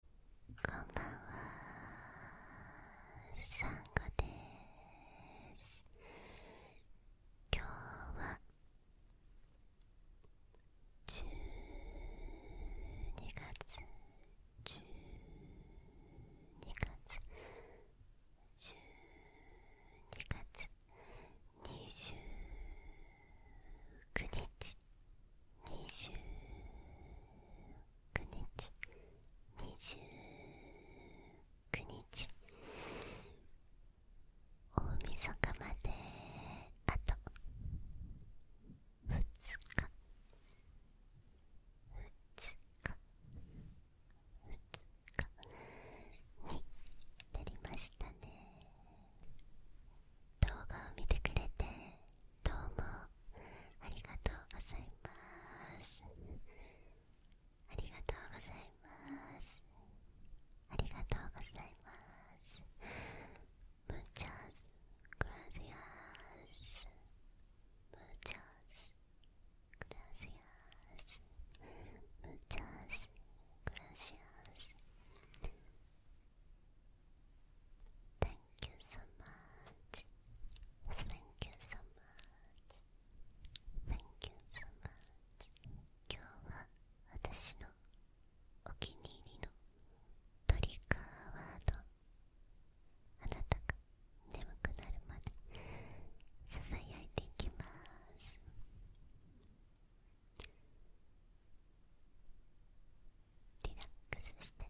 こんばんはサンゴです今日は12月12月12月29日29日29日大晦日まであと2日2日2日になりましたね動画を見てくれてどうもありがとうございますありがとうございますありがとうございますムーチャー Thank you so much. Thank you so much. Thank you so much. 今日は私のお気に入りのトリッカーワードあなたが眠くなるまでささやいていきますリラックスして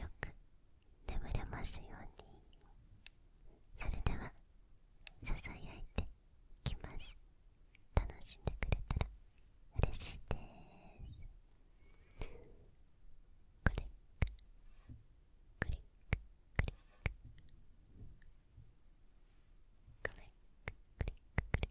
よく眠れますようにそれではささやいてきます楽しんでくれたら嬉しいですこれ、ッククリッククリッククリクリッククリック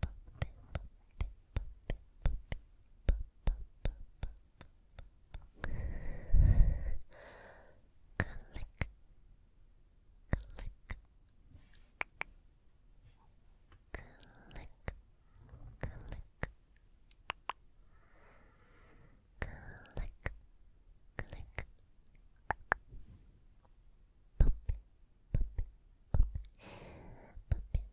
Puppy,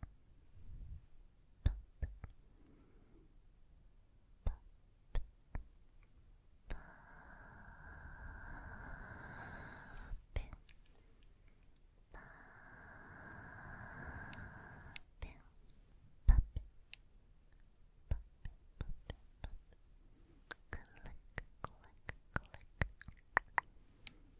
pop, pop, pop, pop, Click, click, click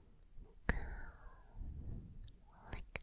Go. Lick.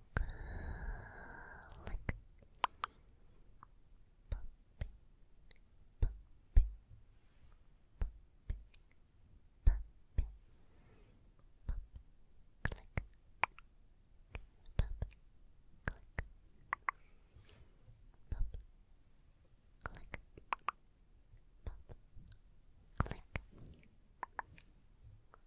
Lick. Puppy, puppy, puppy, puppy, pup, click, pup, click, pup, click, pup, click,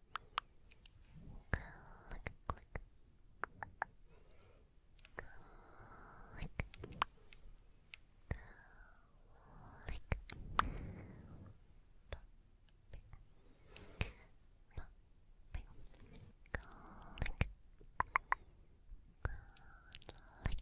Click, click. Click. Click. Bumping. Bumping. Click. Click. Click. Click.